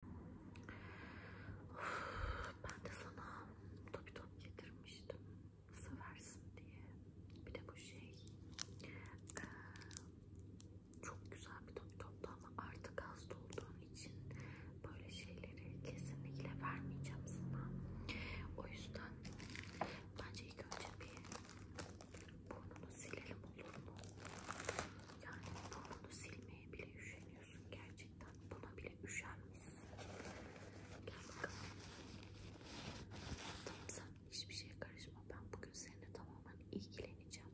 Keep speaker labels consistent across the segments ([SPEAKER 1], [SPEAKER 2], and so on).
[SPEAKER 1] Of, ben de sana top top getirmiştim. Seversin diye. Bir de bu şey ee, çok güzel bir top toptu ama artık hasta olduğun için böyle şeyleri kesinlikle vermeyeceğim sana. O yüzden bence ilk önce bir burnunu silelim olur mu? Yani burnunu silmeye bile üşeniyorum yapıyorsun gerçekten. Buna bile üşenmişsin. Gel bakalım. Tamam sen hiçbir şeye karışma. Ben bugün seninle tamamen ilgileneceğim.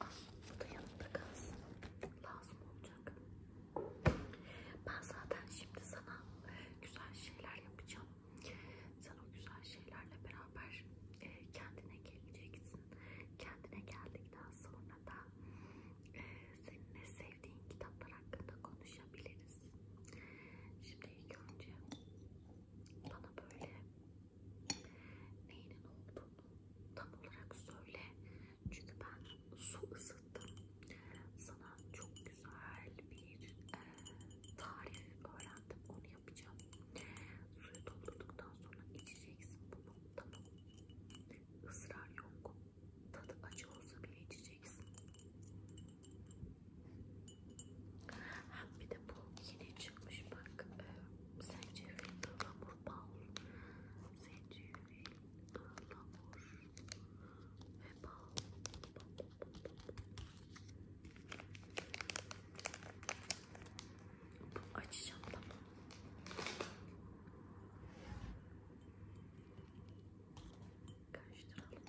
[SPEAKER 1] Al bu da yanında kalsın. Lazım olacak. Ben zaten şimdi sana e, güzel şeyler yapacağım. Sen o güzel şeylerle beraber e, kendine geleceksin. Kendine geldikten sonra da e, seninle sevdiğin kitaplar hakkında konuşabiliriz. Şimdi ilk önce bana böyle neyinin olduğunu tam olarak söyle. Çünkü ben su ısıttım. Sana çok güzel bir e, tarif öğrendim. Onu yapacağım. Suyu doldurduktan sonra içeceksin bunu. Tamam. Israr yok. Tadı acı olsa bile içeceksin. Hem bir de bu yine çıkmış bak. E, zencefil, ıhlamur, bal. Zencefil, ıhlamur ve bal. Bak Açacağım tamam. Karıştıralım.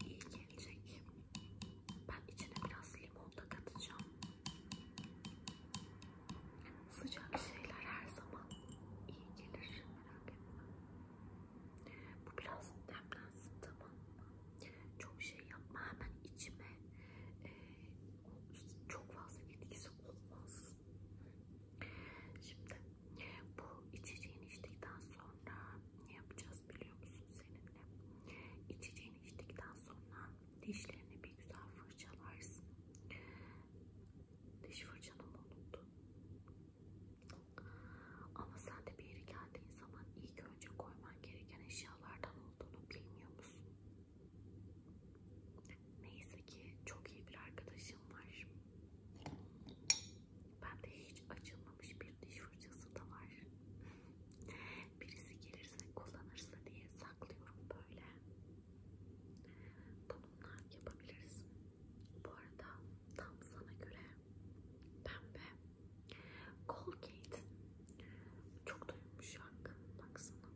[SPEAKER 1] İyi gelecek. Ben içine biraz limon da katacağım. Sıcak şeyler her zaman iyi gelir. Merak etme. Bu biraz demlensin tamam mı? Çok şey yapma hemen içime. Ee, çok fazla etkisi olmaz. Şimdi bu içeceğini içtikten sonra ne yapacağız biliyor musun seninle? İçeceğini içtikten sonra dişlerini bir güzel fırçalarsın. Diş fırçanımı unuttum. Ama sen de bir yere geldiğin zaman ilk önce koyman gereken eşyalardan olduğunu bilmiyor musun? Neyse ki çok iyi bir arkadaşım var. Ben de hiç açılmamış bir diş fırçası da var. Birisi gelirse kullanırsa diye saklıyorum böyle bununla yapabiliriz. Bu arada tam sana göre pembe Colgate çok da yumuşak baksana.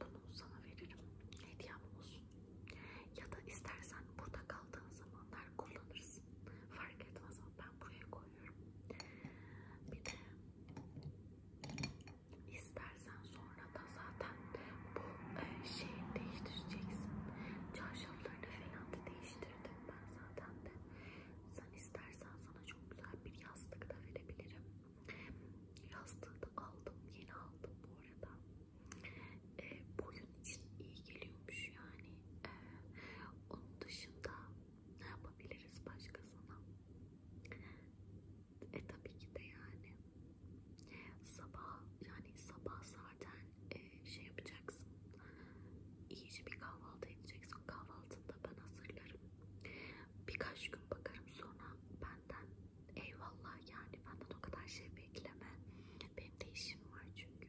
[SPEAKER 1] Bunu sana veririm. Hediyem olsun. Ya da istersen burada kaldığın zamanlar kullanırsın. Fark etmez ama ben buraya koyuyorum. Bir de İstersen sonra da zaten bu e, şeyi değiştireceksin. Çarşaflarını falan da değiştirdim ben zaten de. Sen istersen sana çok güzel bir yastık da verebilirim. Yastığı da aldım, yeni aldım bu arada. E, boyun için iyi geliyormuş yani. E, onun dışında ne yapabiliriz başkasına? E tabii ki de yani sabah yani sabah zaten e, şey yapacaksın. İyice bir kahvaltı edeceksin. Kahvaltını da ben hazırlarım. Birkaç gün bakarım sonra benden eyvallah yani benden o kadar şey bekleme. Benim de işim var çünkü.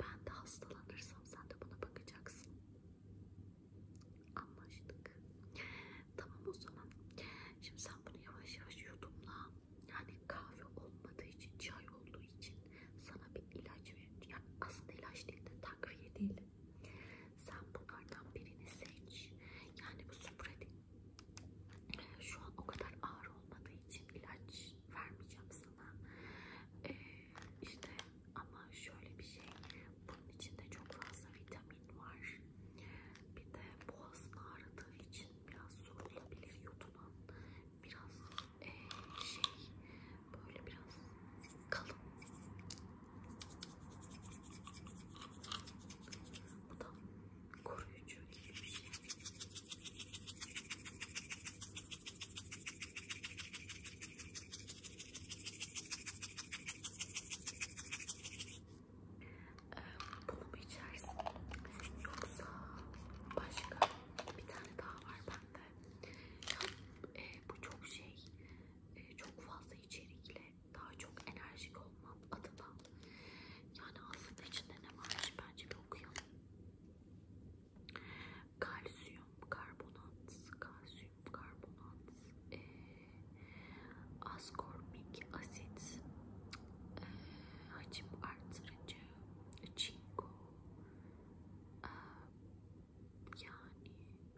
[SPEAKER 1] Ben de hastalanırsam sen de buna bakacaksın. Anlaştık. Tamam o zaman. Şimdi sen bunu yavaş yavaş yudumla. Yani kahve olmadığı için, çay olduğu için sana bir ilaç veriyorum. Yani aslında ilaç değil de takviye değil. Sen bunlardan birini seç. Yani bu süpredi. Şu an o kadar ağır olmadığı için ilaç vermeyeceğim sana. Ee, işte ama şöyle bir şey, bunun içinde çok fazla vitamin var. Bir de boğazını ağrıdığı için biraz sorulabilir yutulan. Biraz e, şey, böyle biraz kalın. Bu da koruyucu gibi bir şey. Ee, Bunu mu içersin? Yoksa başka bir tane daha var bende. Ya, e, bu çok şey, e, çok fazla içerikle daha çok enerjik olmam adına. Yani aslında içinde ne varmış bence bir okuyalım. Kalsiyum, karbonat, kalsiyum karbonat, e, askormik asit, e, hacim artırıcı, çinko, e, yani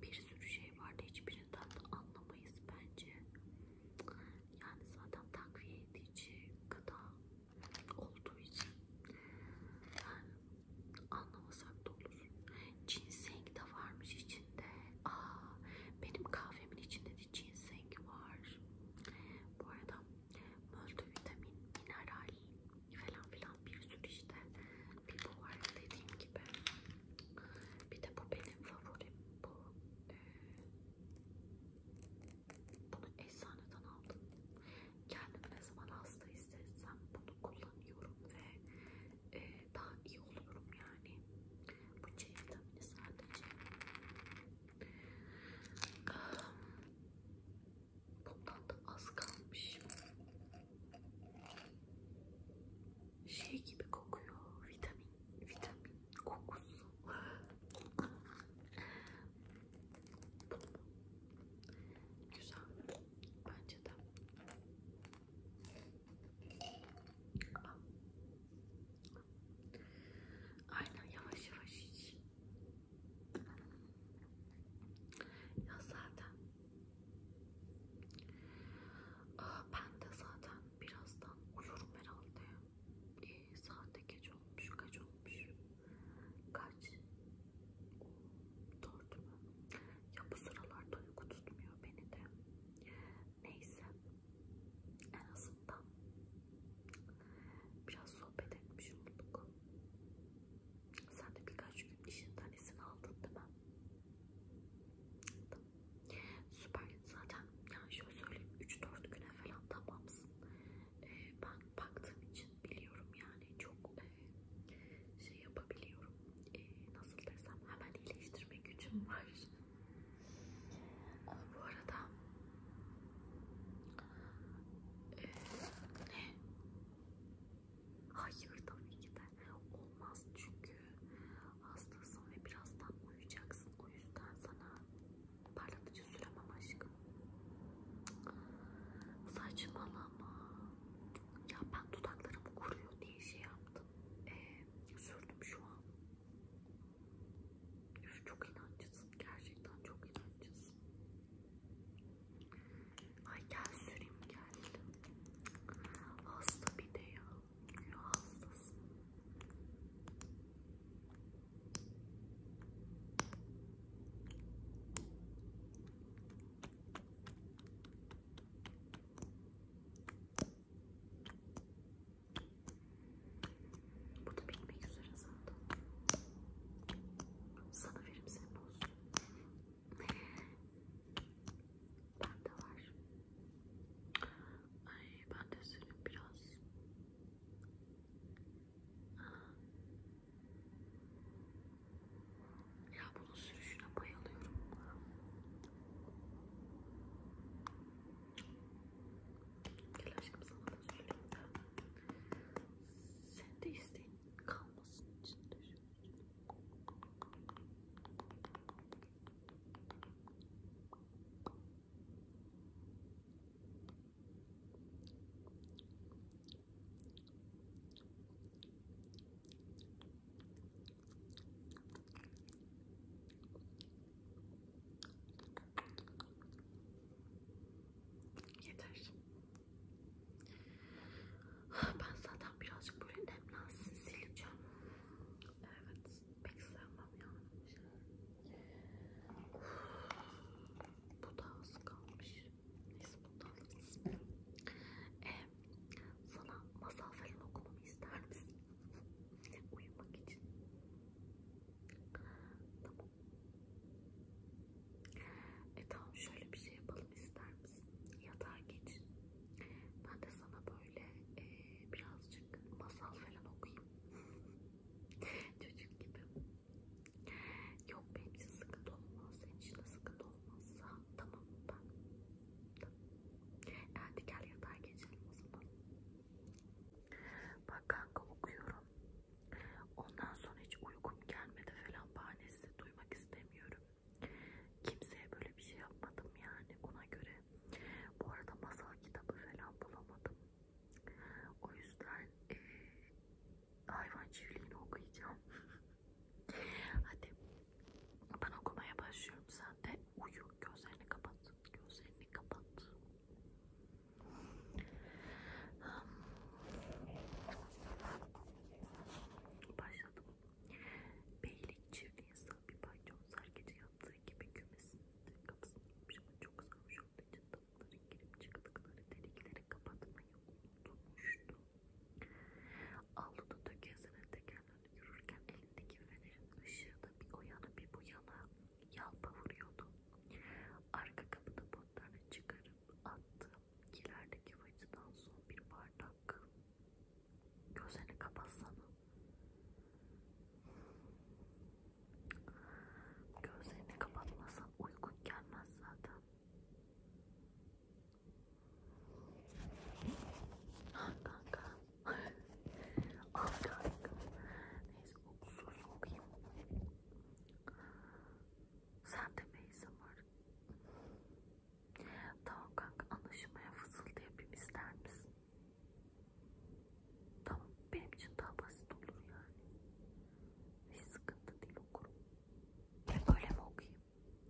[SPEAKER 1] bir sürü şey vardı. Hiçbirinden de anlamayız bence. Yani zaten takviye edici gıda olduğu için yani Anlamasak da olur. Ginseng de varmış içinde. Aa, benim kahvemin içinde de ginseng var. Bu arada multivitamin, mineral falan filan bir sürü işte. Bir bu var dediğim gibi. Bir de bu benim favorim. Bu, e, bunu eczaneden aldım. Kendimi ne zaman hasta hissetsem bunu kullanıyorum ve e, daha iyi oluyorum yani. Bu C vitamini sadece. Ah, bundan da az kalmış. Şey gibi kokuyor. Vitamin, vitamin kokusu. Güzel. Bence de. Aynen yavaş yavaş iç. Ya zaten ah, ben de zaten birazdan uyurum herhalde. E, ee, saatte geç olmuş, kaç olmuş? Kaç? Dört mü? Ya bu sıralarda uyku tutmuyor beni de. Neyse. En azından biraz sohbet etmiş olduk. Sen de birkaç gün işinden izin aldın değil mi? Tamam. Süper. Zaten yani şöyle söyleyeyim 3-4 güne falan tamamsın. Ee, ben baktığım için biliyorum yani çok e, şey yapabiliyorum. E, nasıl desem hemen iyileştirme gücüm var. Ama ee, bu arada e, ne? Hayır tabii ki de olmaz çünkü hastasın ve birazdan uyuyacaksın. O yüzden sana parlatıcı süremem aşkım. Saçmalama. Ya ben dudaklarım kuruyor diye şey yaptım. Ee, sürdüm şu an. Üf, çok inancısın. Gerçekten çok inancısın. Ay gel süreyim gel. Hasta bir de ya. ya hastasın. Bu da bitmek üzere zaten. Sana verip sen boz. Bende var. Ay ben de sürüm biraz. Ah. Ya bunun sürüşüne bayılıyorum. Gel aşkım sana da söyleyeyim de. Sen de isteyin kalmasın içinde. Şöyle. Yeter. Ben zaten birazcık böyle nemlensin sileceğim. Evet, pek sevmem yani. Bu da az kalmış. Neyse bundan ee, sana masal falan okumamı ister misin? Uyumak için. Tamam. E tamam şöyle bir şey yapalım ister misin? Yatağa geç. Ben de sana böyle e, birazcık masal falan okuyayım. Çocuk gibi. Yok benim için sıkıntı olmaz. Senin için de sıkıntı olmazsa tamam ben Hadi gel yatağa geçelim o zaman. Bak kanka okuyorum. Ondan sonra hiç uykum gelmedi falan bahanesi duymak istemiyorum. Kimseye böyle bir şey yapmadım yani ona göre. Bu arada masal kitabı falan bulamadım. O yüzden e, hayvan çiftliğini okuyacağım. Hadi ben okumaya başlıyorum. Sen de uyu. Gözlerini kapat. Gözlerini kapat. Hmm. Başladım. Beylik çirkin sığ bir paycon sergeci yaptığı gibi kümesinde kapısını yapmış ama çok sarmış olduğu için tavukların girip çıktıkları delikleri kapatmayı unutmuştu. Avluda tökezlenen tekerlerle yürürken elindeki fenerin ışığı da bir o yana bir bu yana yalpa vuruyordu. Arka kapıda botlarını çıkarıp attı. Kilerdeki fıçıdan son bir bardak. Gözlerini kapatsana. Gözlerini kapatmasan uyku gelmez zaten. Al ah, kanka. Al ah, kanka. Neyse okusuz okuyayım. Sen de meyze var. Tamam kanka anlaşılmaya fısıldı yapayım ister misin? Tamam benim için daha basit olur yani. Hiç sıkıntı değil okurum. Ben böyle mi okuyayım?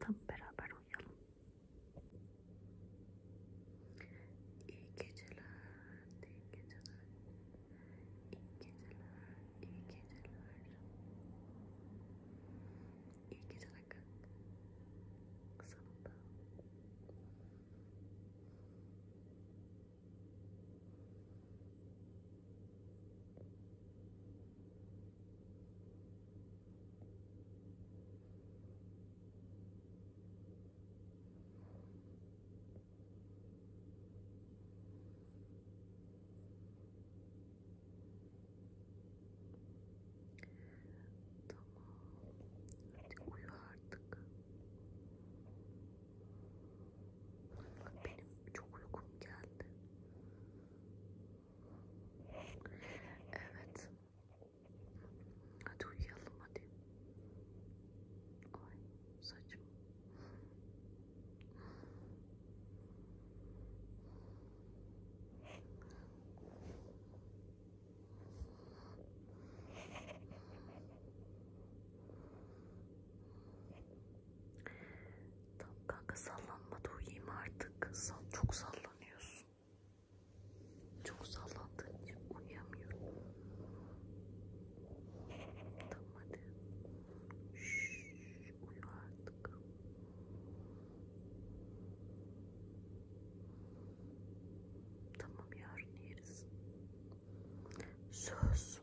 [SPEAKER 1] Tam beraber uyuyalım. geceler, iyi geceler, iyi geceler, iyi geceler. İyi geceler kız. Tamam. Hadi uyu artık. Benim çok uykum geldi. Evet. Hadi uyuyalım hadi. Ay saçım. Tamam kanka sallanma da uyuyayım artık. Sal, çok sallanıyorsun. Çok sallandığın için uyuyamıyorum. Tamam hadi. Şşş, uyu artık. Tamam yarın yeriz. Söz.